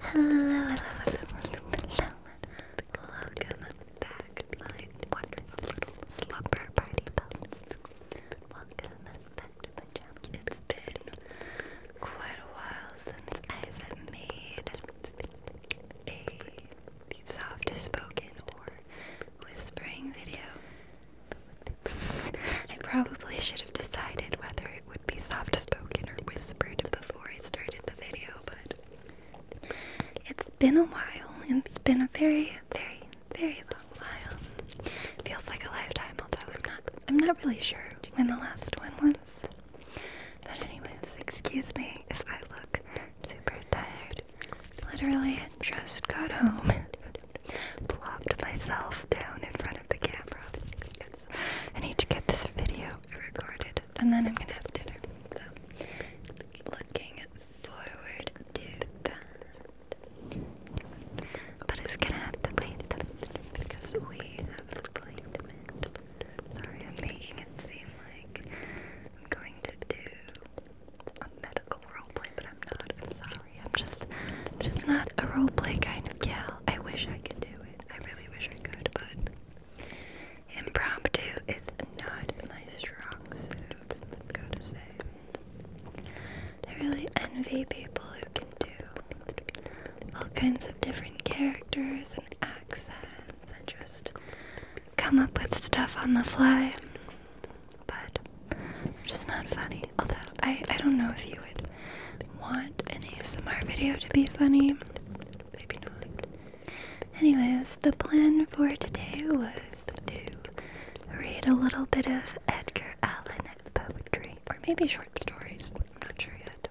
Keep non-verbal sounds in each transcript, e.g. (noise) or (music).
Hello, hello, hello, hello, hello. Welcome back, my wonderful little slumber party pals. Welcome back to my channel. It's been quite a while since I've made a soft spoken or whispering video. I probably should have decided whether it would be soft spoken or whispered before I started the video, but it's been a while. It's been a very, very, very long while. Feels like a lifetime, although I'm not I'm not really sure when the last one was. But anyways, excuse me if I look super tired. Literally just got home plopped myself down in front of the camera. It's, I need to get this video recorded and then I'm gonna have dinner. looking forward to that. But it's gonna have to wait because we have an appointment. Sorry, I'm making it seem like I'm going to do a medical roleplay, but I'm not. I'm sorry. I'm just just not a roleplay kind of gal. I wish I could do it. I really wish I could, but impromptu is not my strong suit. i to say. I really envy people who can do all kinds of different characters and accents and just come up with stuff on the fly. But just not funny. Although I, I don't know if you would want an ASMR video to be funny. Maybe not. Anyways, the plan for today was to read a little bit of Edgar Allan poetry, or maybe short stories. I'm not sure yet.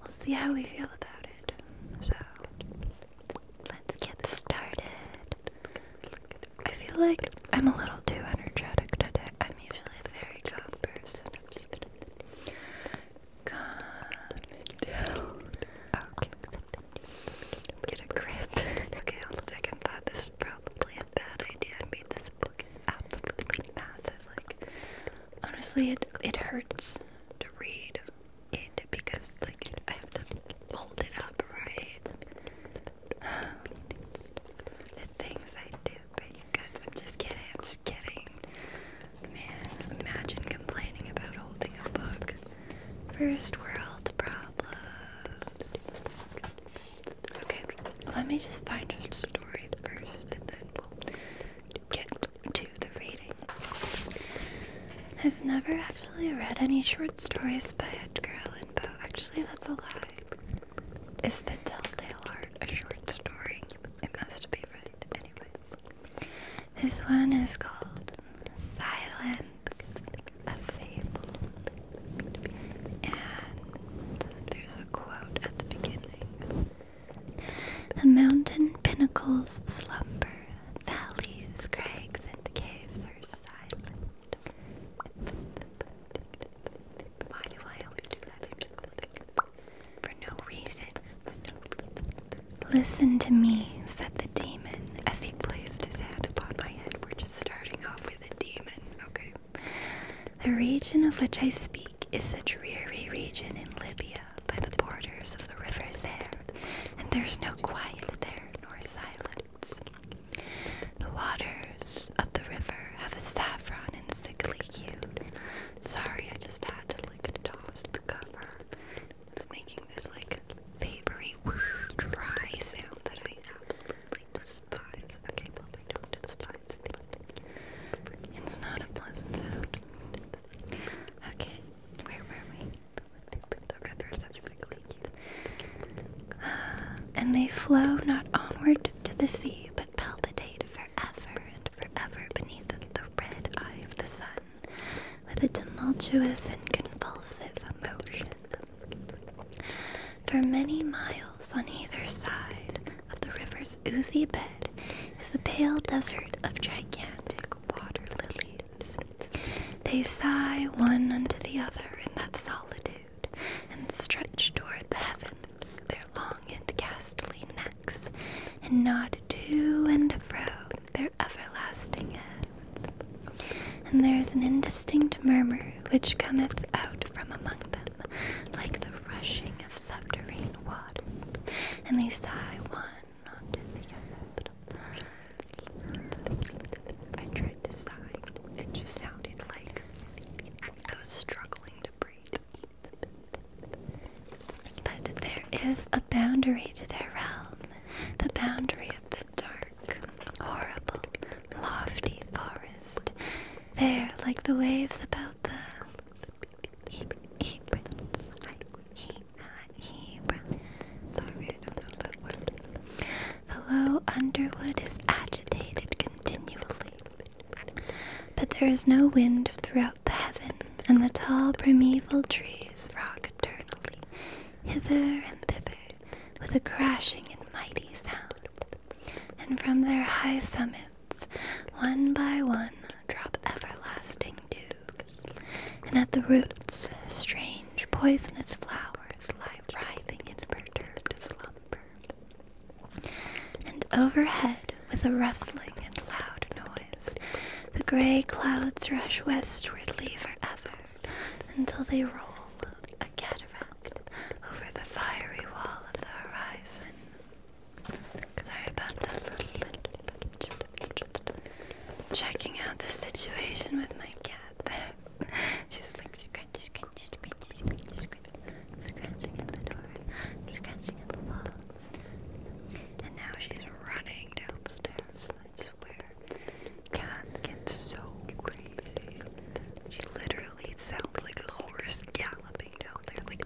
We'll see how we feel about it. So, let's get started. I feel like I'm a little too energetic today. I'm usually a very calm person. calm Get a grip. (laughs) okay, on second thought, this is probably a bad idea. I mean, this book is absolutely massive. Like, honestly, it it hurts to read it because, like, I have to hold it up right. (sighs) things I do for you guys. I'm just kidding. I'm just kidding. Man, imagine complaining about holding a book. First world problems. Okay, let me just find a story first and then get to the reading. I've never actually read any short stories by Edgar Allan Poe. Actually, that's a lie. Is the Telltale Heart a short story? It must be right, anyways. This one is called Silence, a Fable. And there's a quote at the beginning The mountain pinnacles slumber, valleys, crags, and caves are silent. Why do I always do that? For no reason. Listen to me, said the demon as he placed his hand upon my head. We're just starting off with a demon, okay? The region of which I speak is a dreary region in Libya by the borders of the river Zare, and there's no quiet there nor silence. The waters of the river have a saffron and sickly hue. Sorry, I just had to like toss the cover. It's making this like papery, dry sound that I absolutely despise. Okay, I don't despise it, it's not a pleasant sound. Okay, where were we? The rivers have sickly and they flow not onward to the sea, but palpitate forever and forever beneath the red eye of the sun with a tumultuous and convulsive emotion. For many miles on either side of the river's oozy bed is a pale desert of gigantic water lilies. They sigh one unto the other in that solitude and stretch toward the heavens their long and ghastly necks, and nod to and fro their everlasting heads. And there is an indistinct murmur which cometh out from among them, like the rushing of subterranean water, and they sigh one unto the other. I tried to sigh. It just sounded like I was struggling to breathe. But there is a boundary to their realm. The boundary of the dark, horrible, lofty forest. There, like the waves about the the low underwood is agitated continually, but there is no wind throughout the heaven, and the tall primeval trees rock eternally, hither and thither, with a crashing and mighty sound. And from their high summits, one by one, drop everlasting dews, and at the roots, strange poisonous flowers stars in perturbed slumber. And overhead, with a rustling and loud noise, the grey clouds rush westwardly forever until they roll a cataract over the fiery wall of the horizon. Sorry about that. Checking out the situation with my cat there. She's (laughs) like scratch, scratch, scratch, scratch, scratch, scratching at the door, scratching at the walls. And now she's running downstairs. I swear, cats get so crazy. She literally sounds like a horse galloping down there, like.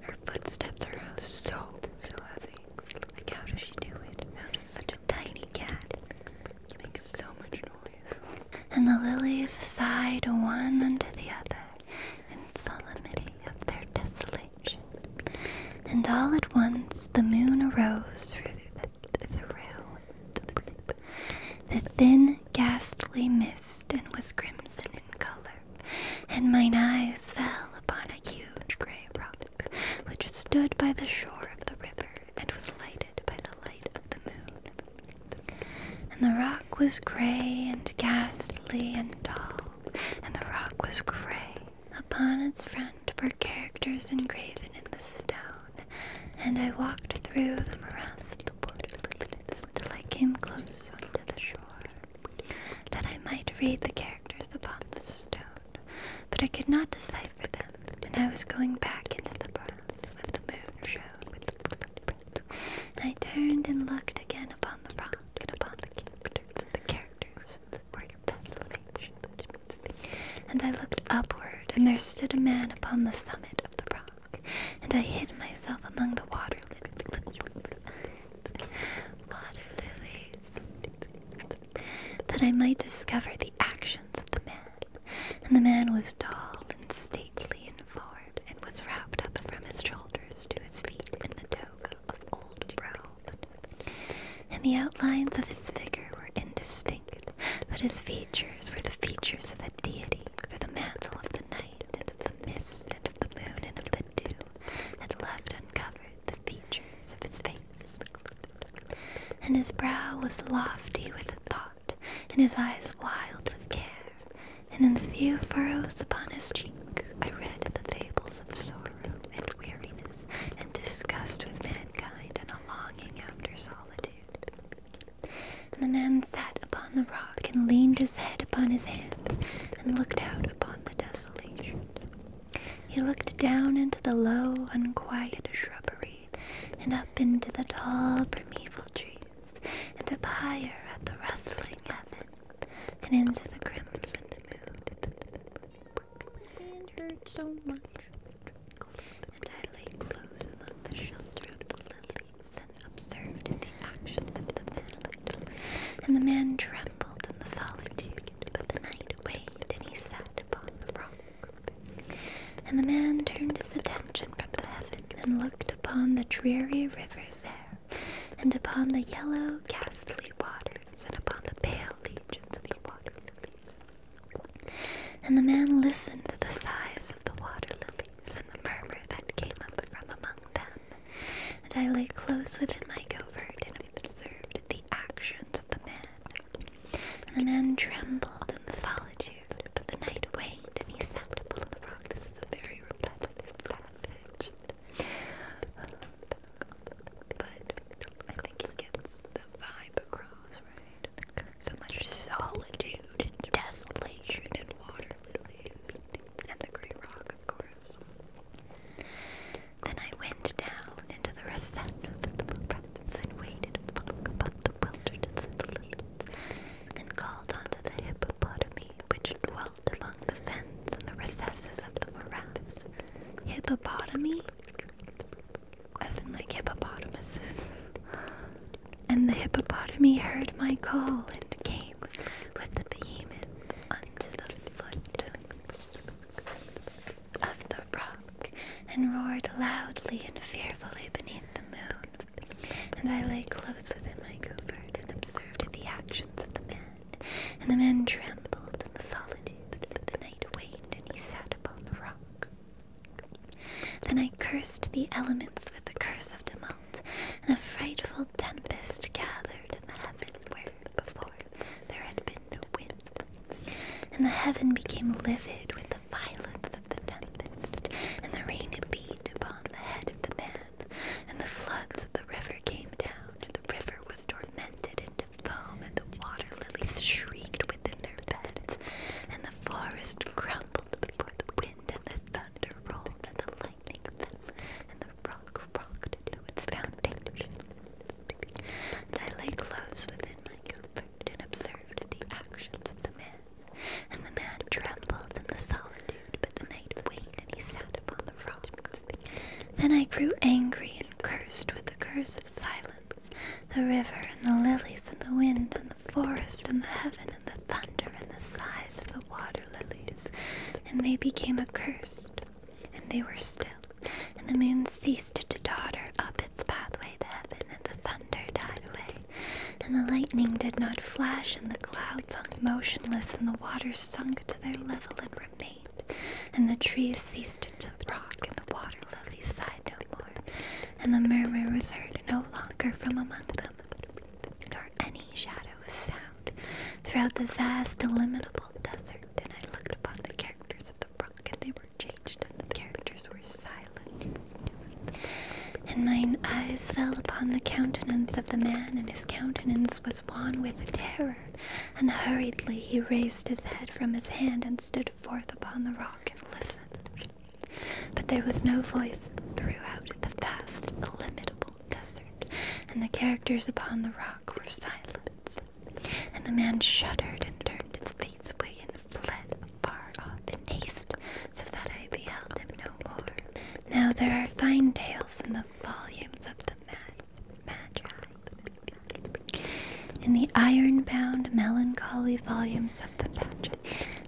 (laughs) Her footsteps are so so heavy. Like, how does she do it? How does such a tiny cat make so much noise? And the lilies sighed one under the other in solemnity of their desolation. And all at once the moon arose through the, thin, ghastly mist and was crimson in color. And mine eyes fell upon a huge grey grey rock, which stood by the shore of the river and was lighted by the light of the moon. And the rock was grey and ghastly and tall, and the rock was grey. Upon its front were characters engraven in the stone, and I walked through the morass of the wood till I came close unto the shore, that I might read the characters upon the stone but I could not decipher them, and I was going back into the bronze with the moon shone. And I turned and looked again upon the rock and upon the characters and the characters that were And I looked upward, and there stood a man upon the summit of the rock, and I hid myself among the water lilies. (laughs) water lilies that I might discover the actions of the man. And the man was tall and stately in form, and was wrapped up from his shoulders to his feet in the toga of old robe. And the outlines of his figure were indistinct, but his features were the features of a deity, for the mantle of the night, and of the mist, and of the moon, and of the dew, had left uncovered the features of his face, and his brow was lofty with thought, and his eyes wild with care, and in the few furrows upon his cheek I read the fables of sorrow and weariness and disgust with mankind and a longing after solitude. And the man sat upon the rock and leaned his head upon his hands and looked out upon the desolation. He looked down into the low, unquiet shrubbery, and up into the tall, primeval trees, and up higher at the rustling heaven, and into the crimson moon. It hurt so much. And I lay close among the shelter of the lilies and observed the actions of the men and the man trembled in the solitude, but the night waned, and he sat upon the rock. And the man turned his attention from the heaven, and looked upon the dreary river's there, and upon the yellow, ghastly waters, and upon the pale legions of the water lilies. And the man listened to the sighs of the water lilies and the murmur that came up from among them and I lay close within my covert and observed the actions of the man. And the man trembled in the solitude, but the night waned, and he sat upon the rock. This is a very repetitive passage. But I think he gets the vibe across, right? So much solitude and desolation and water lilies. And the great rock, of course. Then I went down into the recesses of the breaths and waded about the wilderness of the lilies, and called unto the hippopotami which dwelt among the fens and the recesses of the morass. Hippopotami? As in like hippopotamuses. And the hippopotami heard my call and came with the behemoth unto the foot of the rock and roared loudly and fearfully beneath the moon. And I lay close within my covert and observed the actions of the man. And the man trembled in the solitude, but the night waned and he sat upon the rock. Then I cursed the elements with the curse of tumult, and a frightful tempest gathered in the heavens before there had been no wind. And the heaven became livid with the violence of the tempest, and the rain beat upon the head of the man, and the floods of the river came down, and the river was tormented into foam, and the water lilies shrieked within their beds, and the forest crumbled before the wind, and the thunder rolled, and the and the rock rocked to its foundation. And I lay close within my comfort and observed the actions of the man. And the man trembled in the solitude, but the night waned, and he sat upon the rock. Then I grew angry and cursed with the curse of silence, the river and the lilies and the wind and the forest and the heaven and the thunder and the sighs of the water lilies, and they became accursed, and they were still, and the moon ceased to totter up its pathway to heaven, and the thunder died away, and the lightning did not flash, and the clouds hung motionless, and the waters sunk to their level and remained. And the trees ceased to rock, and the water lilies sighed no more, and the murmur was heard no longer from among them, nor any shadow of sound throughout the vast, illimitable desert. And I looked upon the characters of the brook, and they were changed, and the characters were silenced. And mine eyes fell upon the countenance of the man, and his countenance was wan with terror. And hurriedly he raised his head from his hand and stood forth upon the rock and listened. But there was no voice throughout the vast, illimitable desert, and the characters upon the rock were silent. And the man shuddered and turned his face away and fled far off in haste, so that I beheld him no more. Now there are fine tales in the volumes of the mad magi. In the iron bound melancholy volumes of the pageant,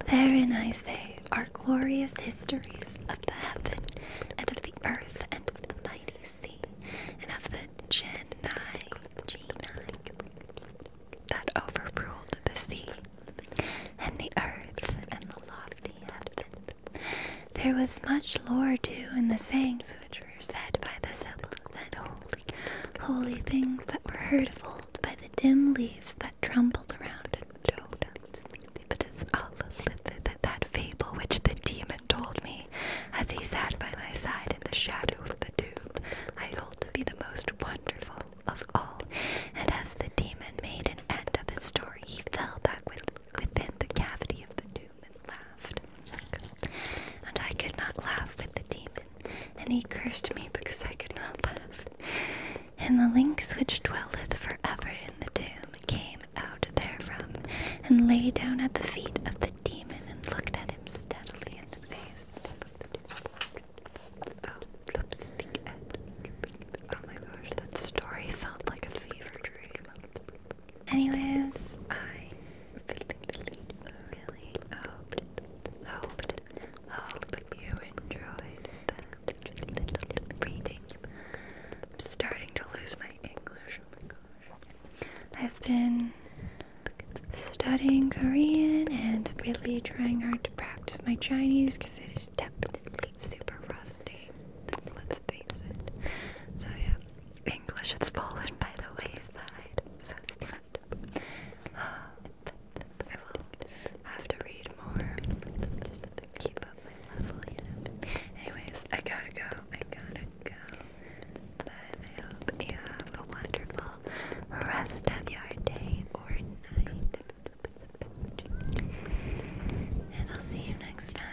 therein I say our glorious histories of the heaven, and of the earth, and of the mighty sea, and of the genii that overruled the sea, and the earth, and the lofty heaven. There was much lore too in the sayings which were said by the simple and holy, holy things that were heard of old by the dim leaves that trembled around in but is all livid at that fable which the demon told me. As he sat by my side in the shadow of the tube, I hold to be the most wonderful of all. And as the demon made an end of his story, he fell back with, within the cavity of the tomb and laughed. And I could not laugh with the demon, and he cursed me because I could not laugh. And the lynx which dwelleth for ever in the tomb came out therefrom, and lay down at the feet of the demon, and looked at him steadily in the face. Oh, oh my gosh, that story felt like a fever dream. Anyways, I really, hoped, hoped, hoped you enjoyed reading. I'm starting to lose my English. Oh my gosh. I've been studying Korean and really trying hard to practice my Chinese because it is definitely super rusty. let it. So, yeah, English is fallen by the wayside. So (sighs) I will have to read more keep up my level, you know. Anyways, I gotta go. I gotta go. But I hope you have a wonderful rest of your day or night. And I'll see you next time.